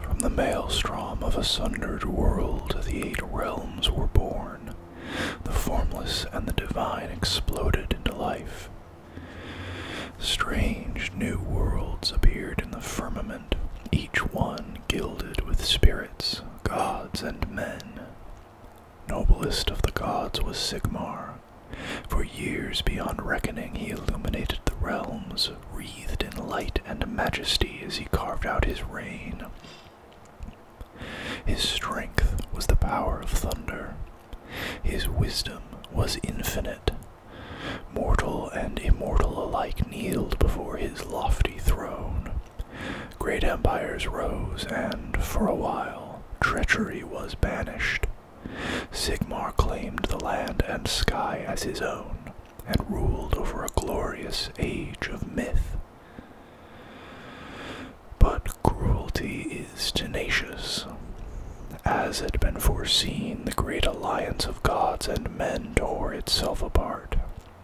From the maelstrom of a sundered world, the eight realms were born. The formless and the divine exploded into life. Strange new worlds appeared in the firmament, each one gilded with spirits, gods, and men. Noblest of the gods was Sigmar, for years beyond reckoning, he illuminated the realms, wreathed in light and majesty as he carved out his reign. His strength was the power of thunder. His wisdom was infinite. Mortal and immortal alike kneeled before his lofty throne. Great empires rose, and, for a while, treachery was banished. Sigmar claimed the land and sky as his own and ruled over a glorious age of myth. But cruelty is tenacious. As had been foreseen, the great alliance of gods and men tore itself apart.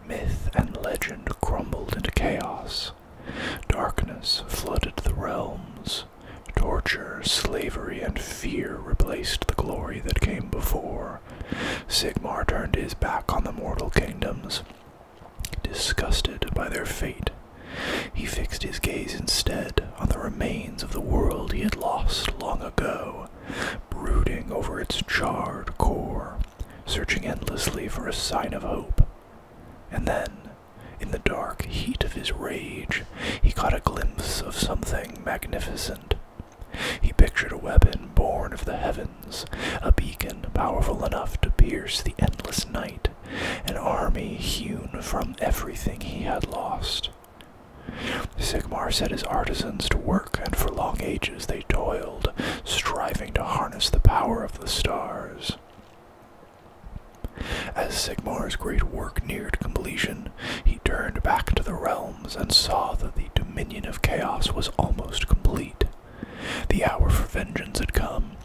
Myth and legend crumbled into chaos. Darkness flooded the realms. Torture, slavery, and fear replaced the glory that came before. Sigmar turned his back on the mortal kingdoms, disgusted by their fate. He fixed his gaze instead on the remains of the world he had lost long ago, brooding over its charred core, searching endlessly for a sign of hope. And then in the dark heat of his rage, he caught a glimpse of something magnificent. He pictured a weapon born of the heavens, a beacon powerful enough to pierce the endless night, an army hewn from everything he had lost. Sigmar set his artisans to work, and for long ages they toiled, striving to harness the power of the stars. As Sigmar's great work neared completion, he turned back to the realms and saw that the dominion of chaos was almost complete. The hour for vengeance had come.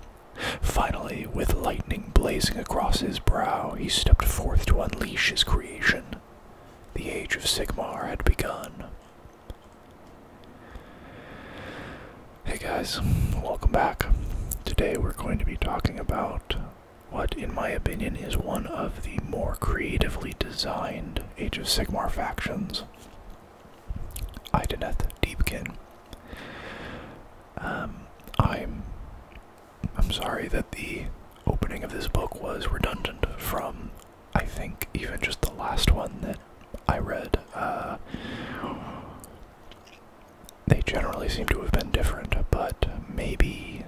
Finally, with lightning blazing across his brow, he stepped forth to unleash his creation. The Age of Sigmar had begun. Hey guys, welcome back. Today we're going to be talking about what, in my opinion, is one of the more creatively designed Age of Sigmar factions. Ideneth Deepkin. Um, I'm I'm sorry that the opening of this book was redundant from I think even just the last one that I read. Uh, they generally seem to have been different, but maybe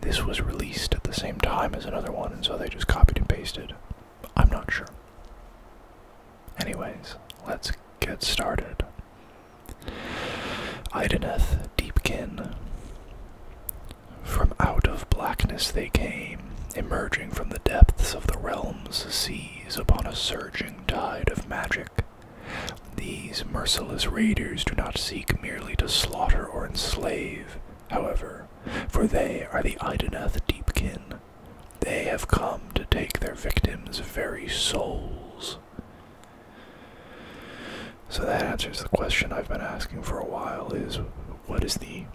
this was released at the same time as another one, and so they just copied and pasted. I'm not sure. Anyways, let's get started. Idaneth Deepkin. From out of blackness they came, emerging from the depths of the realm's seas upon a surging tide of magic. These merciless raiders do not seek merely to slaughter or enslave, however, for they are the Idanath deep kin; They have come to take their victims' very souls. So that answers the question I've been asking for a while is what is the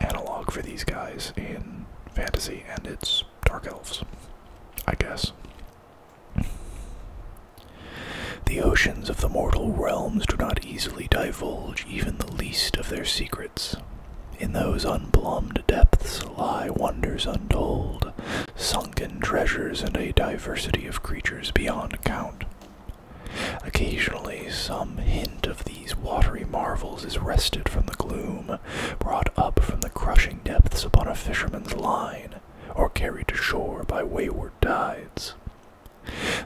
analog for these guys in fantasy and its dark elves? I guess. The oceans of the mortal realms do not easily divulge even the least of their secrets. In those unplumbed depths lie wonders untold, sunken treasures, and a diversity of creatures beyond count. Occasionally, some hint of these watery marvels is wrested from the gloom, brought up from the crushing depths upon a fisherman's line, or carried to shore by wayward tides.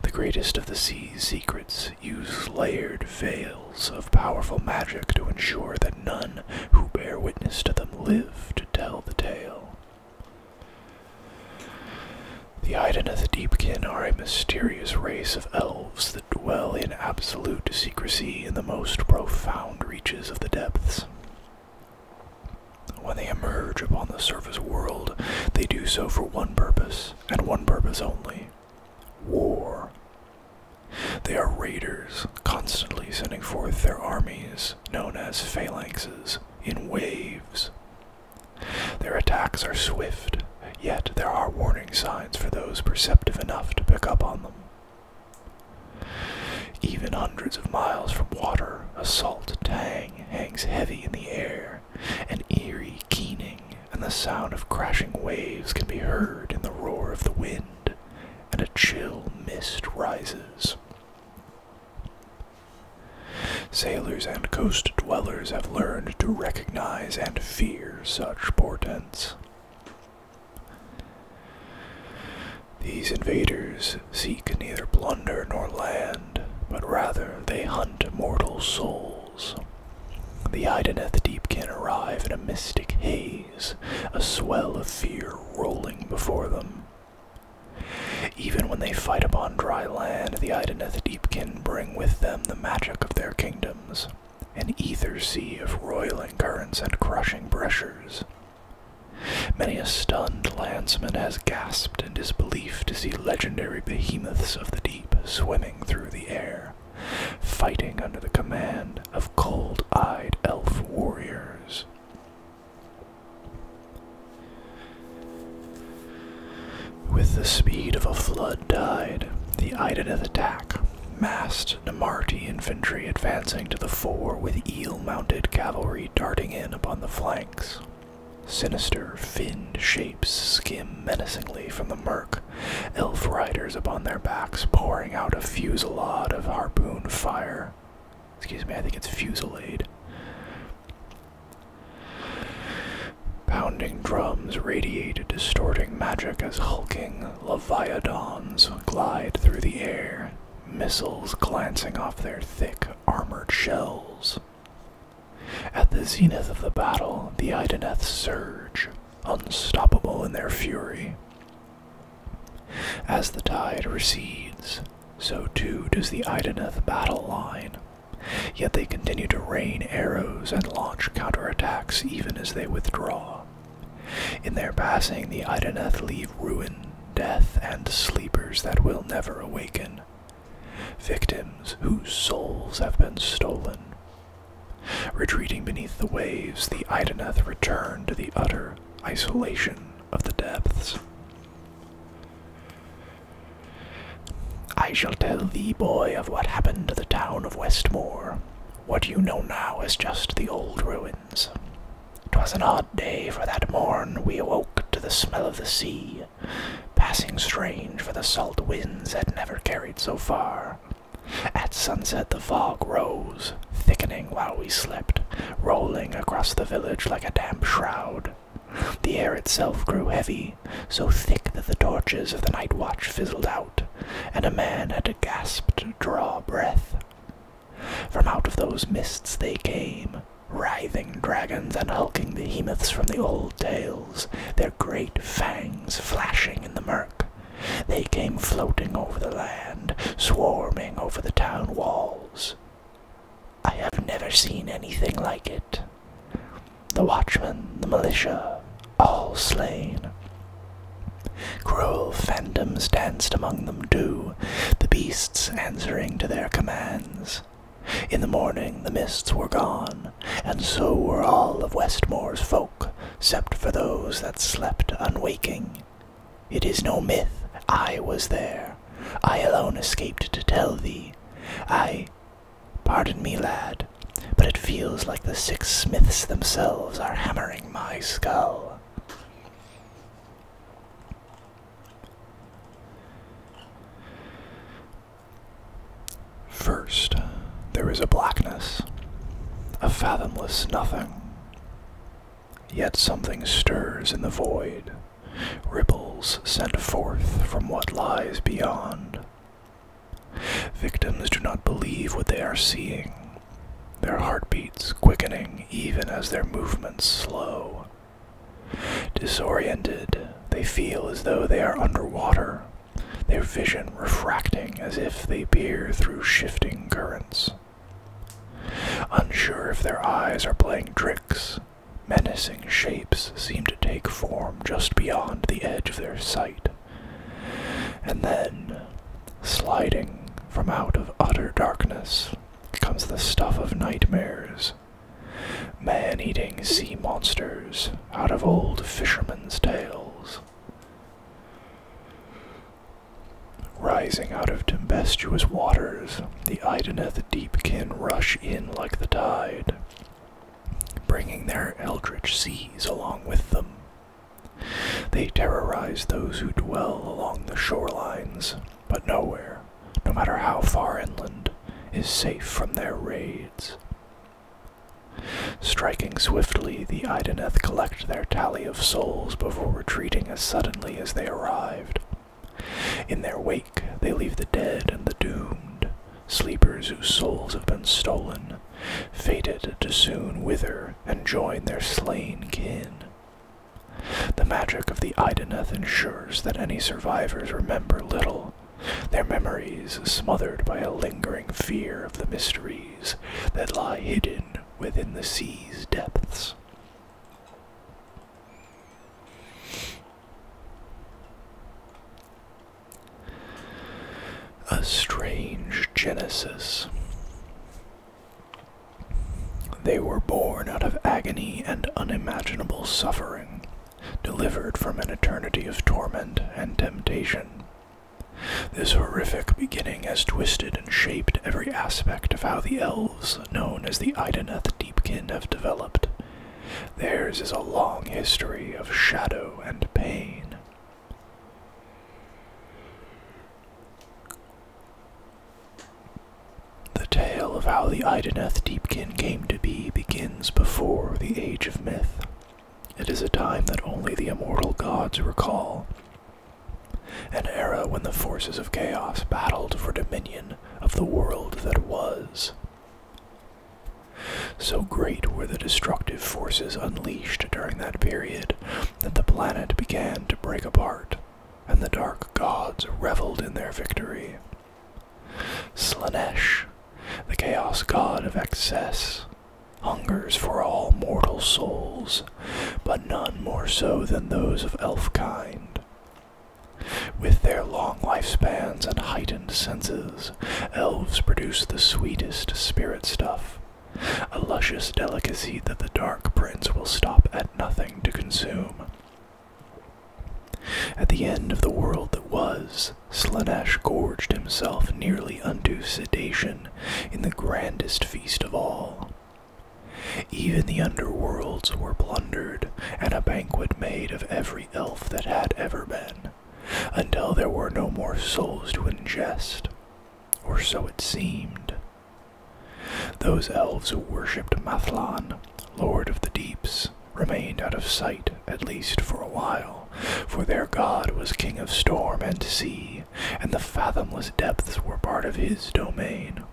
The greatest of the sea's secrets use layered veils of powerful magic to ensure that none who bear witness to them live to tell the tale. The Iden of the Deepkin are a mysterious race of elves that dwell in absolute secrecy in the most profound reaches of the depths. When they emerge upon the surface world, they do so for one purpose, and one purpose only war. They are raiders, constantly sending forth their armies, known as phalanxes, in waves. Their attacks are swift, yet there are warning signs for those perceptive enough to pick up on them. Even hundreds of miles from water, a salt tang hangs heavy in the air, an eerie keening, and the sound of crashing waves can be heard in the roar of the wind, and a chill mist rises. Sailors and coast dwellers have learned to recognize and fear such portents. These invaders seek neither plunder nor land, but rather they hunt mortal souls. The Idaneth Deep can arrive in a mystic haze, a swell of fear rolling before them. Even when they fight upon dry land, the Idaneth Deep can bring with them the magic of their kingdoms, an ether sea of roiling currents and crushing pressures. Many a stunned landsman has gasped in disbelief to see legendary behemoths of the deep swimming through the air, fighting under the command of cold eyed elf warriors. With the speed of a flood died the of the attack massed Namarti infantry advancing to the fore with mounted cavalry darting in upon the flanks. Sinister, finned shapes skim menacingly from the murk, elf riders upon their backs pouring out a fusillade of harpoon fire. Excuse me, I think it's fusillade. Pounding drums radiate distorting magic as hulking leviathans glide through the air, missiles glancing off their thick armored shells. At the zenith of the battle, the Idaneth surge, unstoppable in their fury. As the tide recedes, so too does the Idaneth battle line, yet they continue to rain arrows and launch counterattacks even as they withdraw. In their passing, the Idaneth leave ruin death and sleepers that will never awaken, victims whose souls have been stolen. Retreating beneath the waves, the Idaneth return to the utter isolation of the depths. I shall tell thee, boy, of what happened to the town of Westmore. What you know now as just the old ruins ruins. 'Twas an odd day, for that morn we awoke to the smell of the sea, passing strange for the salt winds had never carried so far. At sunset the fog rose, thickening while we slept, rolling across the village like a damp shroud. The air itself grew heavy, so thick that the torches of the night watch fizzled out, and a man had to gasp to draw breath. From out of those mists they came, writhing dragons and hulking behemoths from the old tales, their great fangs flashing in the murk. They came floating over the land, swarming over the town walls. I have never seen anything like it. The watchmen, the militia, all slain. Cruel phantoms danced among them too, the beasts answering to their commands. In the morning the mists were gone, and so were all of Westmore's folk, except for those that slept unwaking. It is no myth I was there. I alone escaped to tell thee. I. Pardon me, lad, but it feels like the six smiths themselves are hammering my skull. First, there is a blackness, a fathomless nothing. Yet something stirs in the void, ripples sent forth from what lies beyond. Victims do not believe what they are seeing their heartbeats quickening even as their movements slow. Disoriented, they feel as though they are underwater, their vision refracting as if they peer through shifting currents. Unsure if their eyes are playing tricks, menacing shapes seem to take form just beyond the edge of their sight. And then, sliding from out of utter darkness, comes the stuff of nightmares. Man eating sea monsters out of old fishermen's tales. Rising out of tempestuous waters, the deep can rush in like the tide, bringing their eldritch seas along with them. They terrorize those who dwell along the shoreline but nowhere, no matter how far inland, is safe from their raids. Striking swiftly, the Idaneth collect their tally of souls before retreating as suddenly as they arrived. In their wake, they leave the dead and the doomed, sleepers whose souls have been stolen, fated to soon wither and join their slain kin. The magic of the Idaneth ensures that any survivors remember little, their memories smothered by a lingering fear of the mysteries that lie hidden within the sea's depths. A strange genesis. They were born out of agony and unimaginable suffering, delivered from an eternity of torment and temptation. This horrific beginning has twisted and shaped every aspect of how the elves, known as the Idaneth Deepkin, have developed. Theirs is a long history of shadow and pain. The tale of how the Idaneth Deepkin came to be begins before the Age of Myth. It is a time that only the immortal gods recall. An era when the forces of chaos battled for dominion of the world that was. So great were the destructive forces unleashed during that period that the planet began to break apart and the dark gods reveled in their victory. Slanesh, the chaos god of excess, hungers for all mortal souls, but none more so than those of elf kind. With their long lifespans and heightened senses, elves produce the sweetest spirit stuff a luscious delicacy that the Dark Prince will stop at nothing to consume. At the end of the world that was, Slanesh gorged himself nearly unto sedation in the grandest feast of all. Even the underworlds were plundered, and a banquet made of every elf that had ever been, until there were no more souls to ingest, or so it seemed. Those elves who worshipped Mathlan, lord of the deeps, remained out of sight, at least for a while, for their god was king of storm and sea, and the fathomless depths were part of his domain.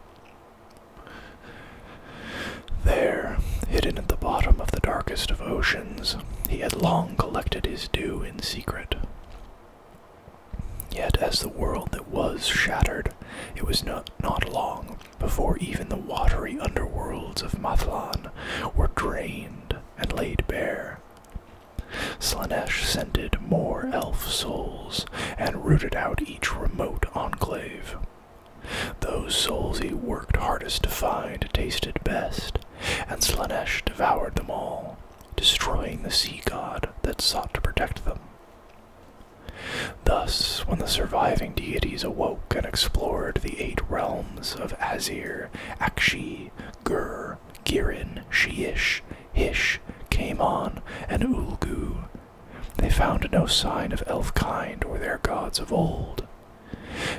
There, hidden at the bottom of the darkest of oceans, he had long collected his due in secret. Yet, as the world that was shattered, it was not, long before even the watery underworlds of Mathlan were drained and laid bare. Slanesh scented more elf souls and rooted out each remote enclave. Those souls he worked hardest to find tasted best, and Slanesh devoured them all, destroying the sea god that sought to protect them. Thus, when the surviving deities awoke and explored the eight realms of Azir, Akshi, Gur, Girin, Shiish, Hish, Kamon, and Ulgu, they found no sign of elfkind or their gods of old.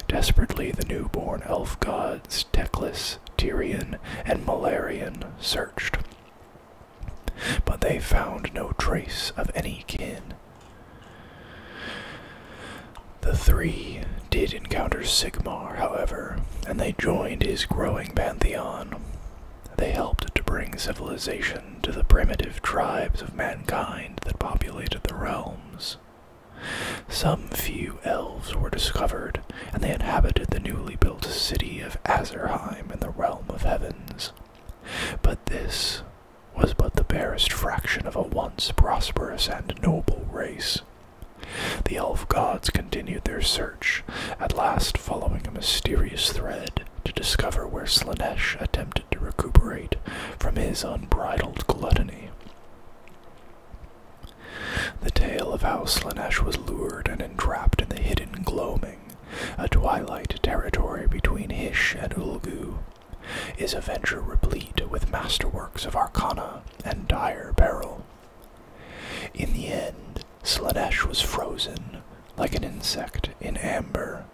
Desperately, the newborn elf gods Teclis, Tyrion, and Malarian searched but they found no trace of any kin. The three did encounter Sigmar, however, and they joined his growing pantheon. They helped to bring civilization to the primitive tribes of mankind that populated the realms. Some few elves were discovered and they inhabited the newly built city of Azerheim in the realm of heavens. But this was but the barest fraction of a once prosperous and noble race. The elf gods continued their search, at last following a mysterious thread to discover where Slanesh attempted to recuperate from his unbridled gluttony. The tale of how Slanesh was lured and. Trapped in the hidden gloaming, a twilight territory between Hish and Ulgu, is a venture replete with masterworks of arcana and dire peril. In the end, Slanesh was frozen, like an insect in amber.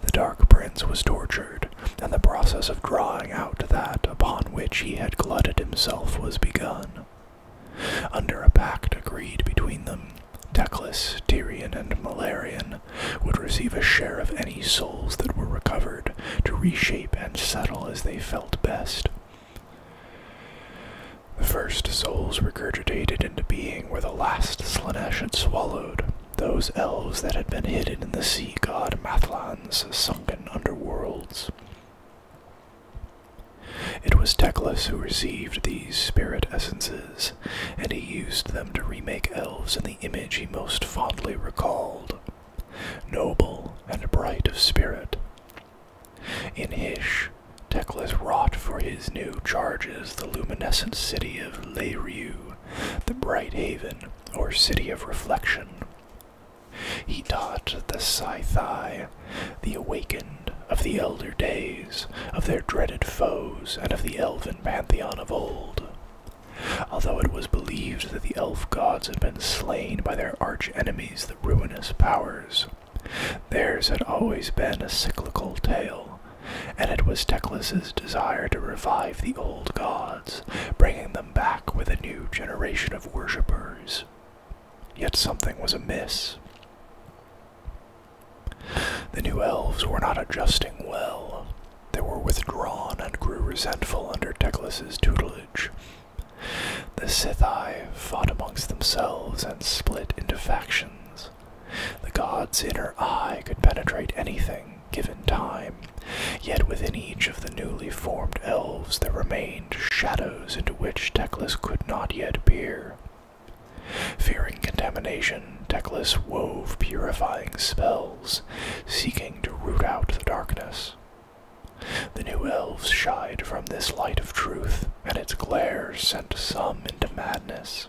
The Dark Prince was tortured, and the process of drawing out that upon which he had glutted himself was begun. Under a pact agreed between them, Teclis, Tyrion, and Malarian would receive a share of any souls that were recovered to reshape and settle as they felt best. The first souls regurgitated into being were the last Slanesh had swallowed, those elves that had been hidden in the sea god Mathlan's sunken underworlds. It was Teclis who received these spirit essences, and he used them to remake elves in the image he most fondly recalled noble and bright of spirit. In Hish, Teclis wrought for his new charges the luminescent city of Leiriu, the bright haven, or city of reflection. He taught the Scythi the awakened of the elder days, of their dreaded foes, and of the elven pantheon of old. Although it was believed that the elf gods had been slain by their arch enemies, the ruinous powers, theirs had always been a cyclical tale, and it was Teclis's desire to revive the old gods, bringing them back with a new generation of worshippers. Yet something was amiss. The new elves were not adjusting well. They were withdrawn and grew resentful under Teclis's tutelage. The Sithai fought amongst themselves and split into factions. The god's inner eye could penetrate anything given time, yet within each of the newly formed elves that remained shadows into which Teclis could not yet peer. Fearing contamination, Teclis wove purifying spells, seeking to root out the darkness. The new elves shied from this light of truth, and its glare sent some into madness.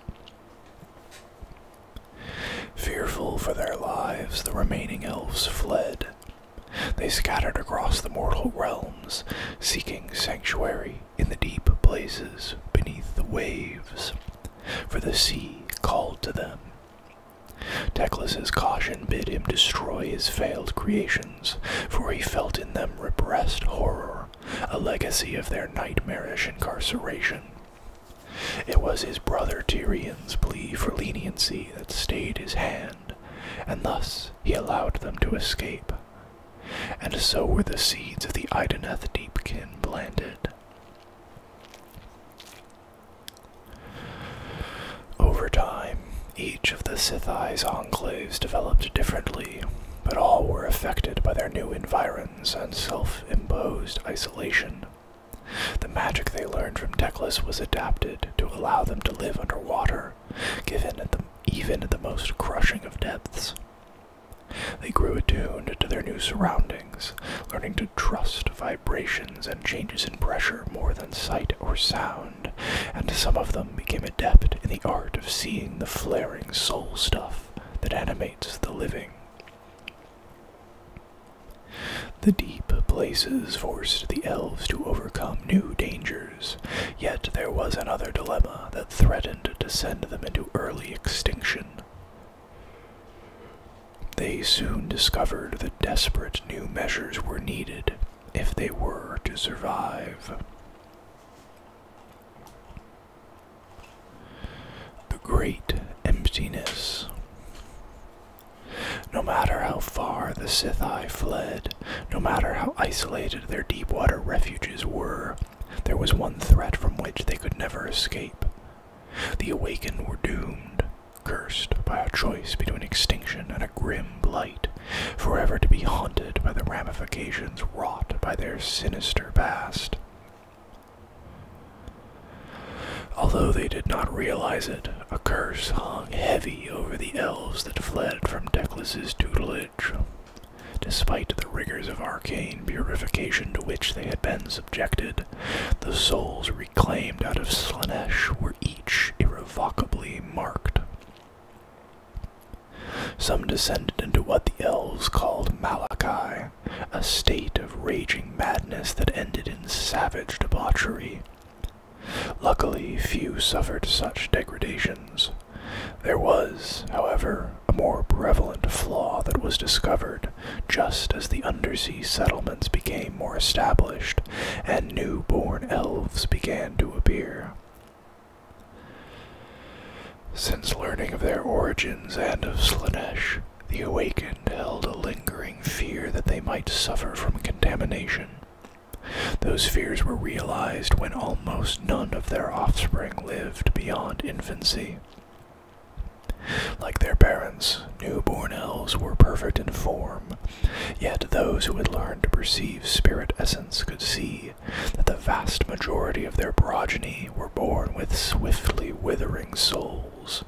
Fearful for their lives, the remaining elves fled, they scattered across the mortal realms, seeking sanctuary in the deep places beneath the waves, for the sea called to them. Teclis's caution bid him destroy his failed creations, for he felt in them repressed horror, a legacy of their nightmarish incarceration. It was his brother Tyrion's plea for leniency that stayed his hand, and thus he allowed them to escape. And so were the seeds of the Idaneth Deepkin planted. Over time, each of the Sithi's enclaves developed differently, but all were affected by their new environs and self imposed isolation. The magic they learned from Teclis was adapted to allow them to live underwater, given at the even at the most crushing of depths. They grew attuned to their new surroundings, learning to trust vibrations and changes in pressure more than sight or sound, and some of them became adept in the art of seeing the flaring soul stuff that animates the living. The deep places forced the elves to overcome new dangers Yet there was another dilemma that threatened to send them into early extinction. They soon discovered that desperate new measures were needed if they were to survive. The Great Emptiness. No matter how far the Scythi fled, no matter how isolated their deep water refuges were, there was one threat from which they could never escape. The awakened were doomed, cursed by a choice between extinction and a grim blight, forever to be haunted by the ramifications wrought by their sinister past. Although they did not realize it, a curse hung heavy over the elves that fled from Teclis's tutelage. Despite the rigors of arcane purification to which they had been subjected, the souls reclaimed out of Slanesh were each irrevocably marked. Some descended into what the elves called Malachi, a state of raging madness that ended in savage debauchery. Luckily, few suffered such degradations. There was, however, a more prevalent flaw that was discovered just as the undersea settlements became more established and new-born elves began to appear. Since learning of their origins and of Slanesh, the awakened held a lingering fear that they might suffer from contamination. Those fears were realized when almost none of their offspring lived beyond infancy. Like their parents, newborn elves were perfect in form, yet those who had learned to perceive spirit essence could see that the vast majority of their progeny were born with swiftly withering souls.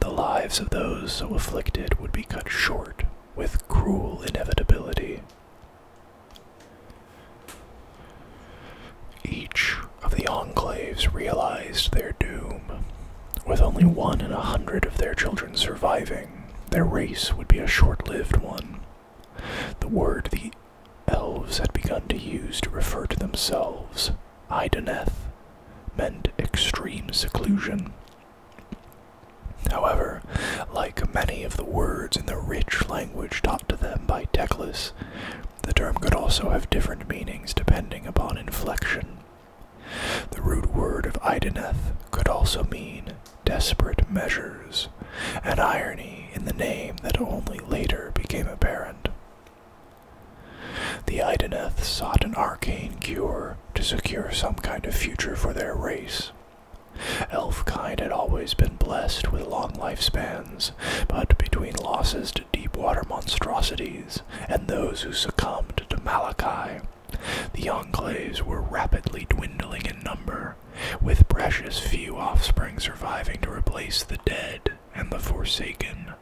The lives of those so afflicted would be cut short with cruel inevitability. Each of the enclaves realized their doom. With only one in a hundred of their children surviving, their race would be a short lived one. The word the elves had begun to use to refer to themselves, Idaneth, meant extreme seclusion, However, like many of the words in the rich language taught to them by Teclis, the term could also have different meanings depending upon inflection. The root word of Idaneth could also mean desperate measures, an irony in the name that only later became apparent. The Idaneth sought an arcane cure to secure some kind of future for their race, Elfkind had always been blessed with long lifespans, but between losses to deep water monstrosities and those who succumbed to Malachi, the enclaves were rapidly dwindling in number, with precious few offspring surviving to replace the dead and the forsaken.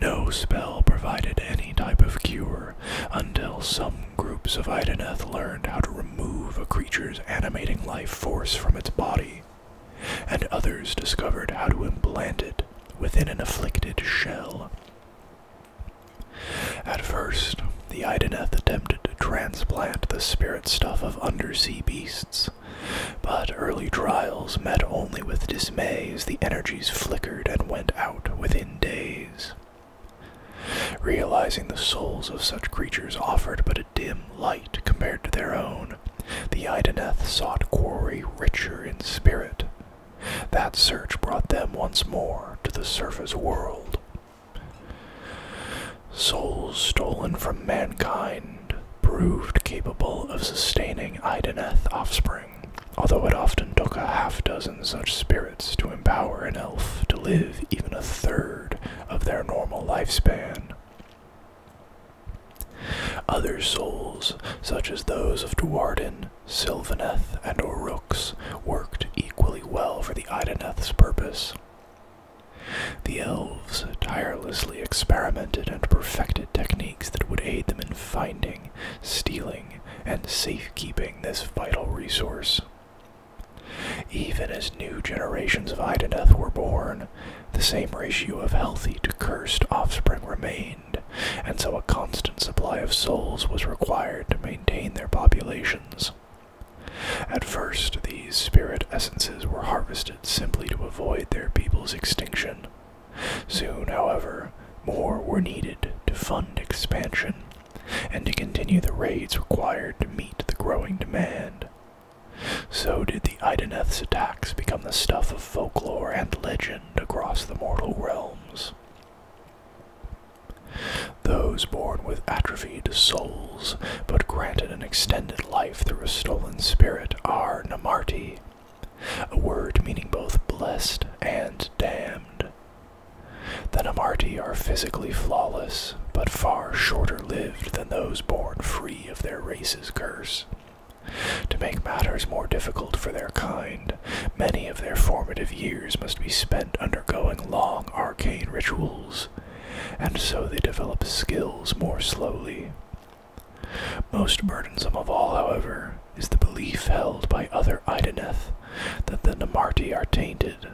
No spell provided any type of cure until some groups of Idaneth learned how to remove a creature's animating life force from its body, and others discovered how to implant it within an afflicted shell. At first, the Idaneth attempted to transplant the spirit stuff of undersea beasts, but early trials met only with dismay as the energies flickered and went out within days. Realizing the souls of such creatures offered but a dim light compared to their own, the Idaneth sought quarry richer in spirit. That search brought them once more to the surface world. Souls stolen from mankind proved capable of sustaining Idaneth offspring although it often took a half dozen such spirits to empower an elf to live even a third of their normal lifespan. Other souls, such as those of Dwarden, silvaneth and Orooks, worked equally well for the Idaneth's purpose. The elves tirelessly experimented and perfected techniques that would aid them in finding, stealing, protecting and safekeeping this vital resource. Even as new generations of Idaneth were born, the same ratio of healthy to cursed offspring remained, and so a constant supply of souls was required to maintain their populations. At first, these spirit essences were harvested simply to avoid their people's extinction. Soon, however, more were needed to fund expansion and to continue the raids required to meet the growing demand. So did the Idaneth's attacks become the stuff of folklore and legend across the mortal realms. Those born with atrophied souls, but granted an extended life through a stolen spirit, are Namarti, a word meaning both blessed and damned. The Namarti are physically flawless, but far shorter lived than those born free of their race's curse. To make matters more difficult for their kind, many of their formative years must be spent undergoing long arcane rituals, and so they develop skills more slowly. Most burdensome of all, however, is the belief held by other Idaneth that the Namarti are tainted,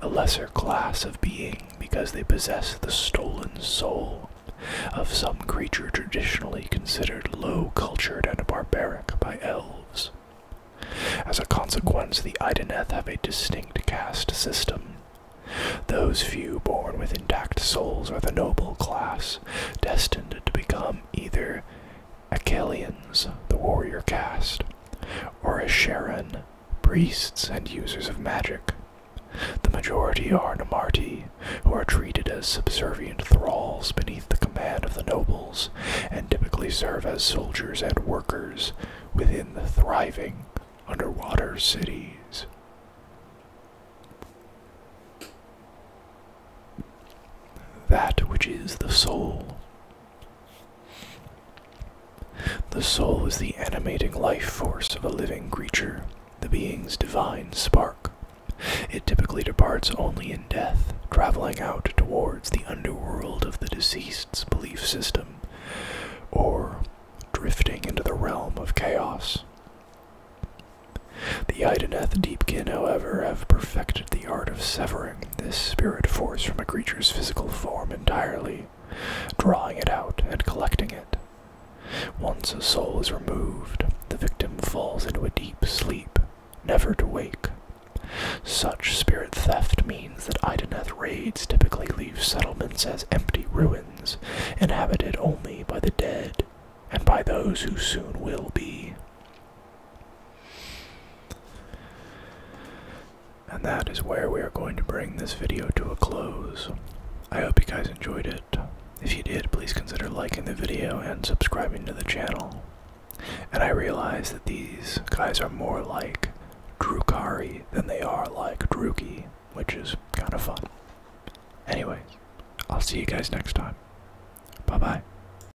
a lesser class of being because they possess the stolen soul of some creature traditionally considered low cultured and barbaric by elves. As a consequence, the Idaneth have a distinct caste system. Those few born with intact souls are the noble class, destined to become either Achelians, the warrior caste, or Asheran, priests and users of magic. The majority are Namarti, who are treated as subservient thralls beneath the command of the nobles, and typically serve as soldiers and workers within the thriving underwater cities. That which is the soul the soul is the animating life force of a living creature, the being's divine spark. It typically departs only in death, traveling out towards the underworld of the deceased's belief system, or drifting into the realm of chaos. The Ideneth Deepkin, however, have perfected the art of severing this spirit force from a creature's physical form entirely, drawing it out and collecting it. Once a soul is removed, the victim falls into a deep sleep, never to wake. Such spirit theft means that Idaneth raids typically leave settlements as empty ruins, inhabited only by the dead and by those who soon will be. And that is where we are going to bring this video to a close. I hope you guys enjoyed it. If you did, please consider liking the video and subscribing to the channel. And I realize that these guys are more like Drukari than they are like Druki, which is kind of fun. Anyway, I'll see you guys next time. Bye bye.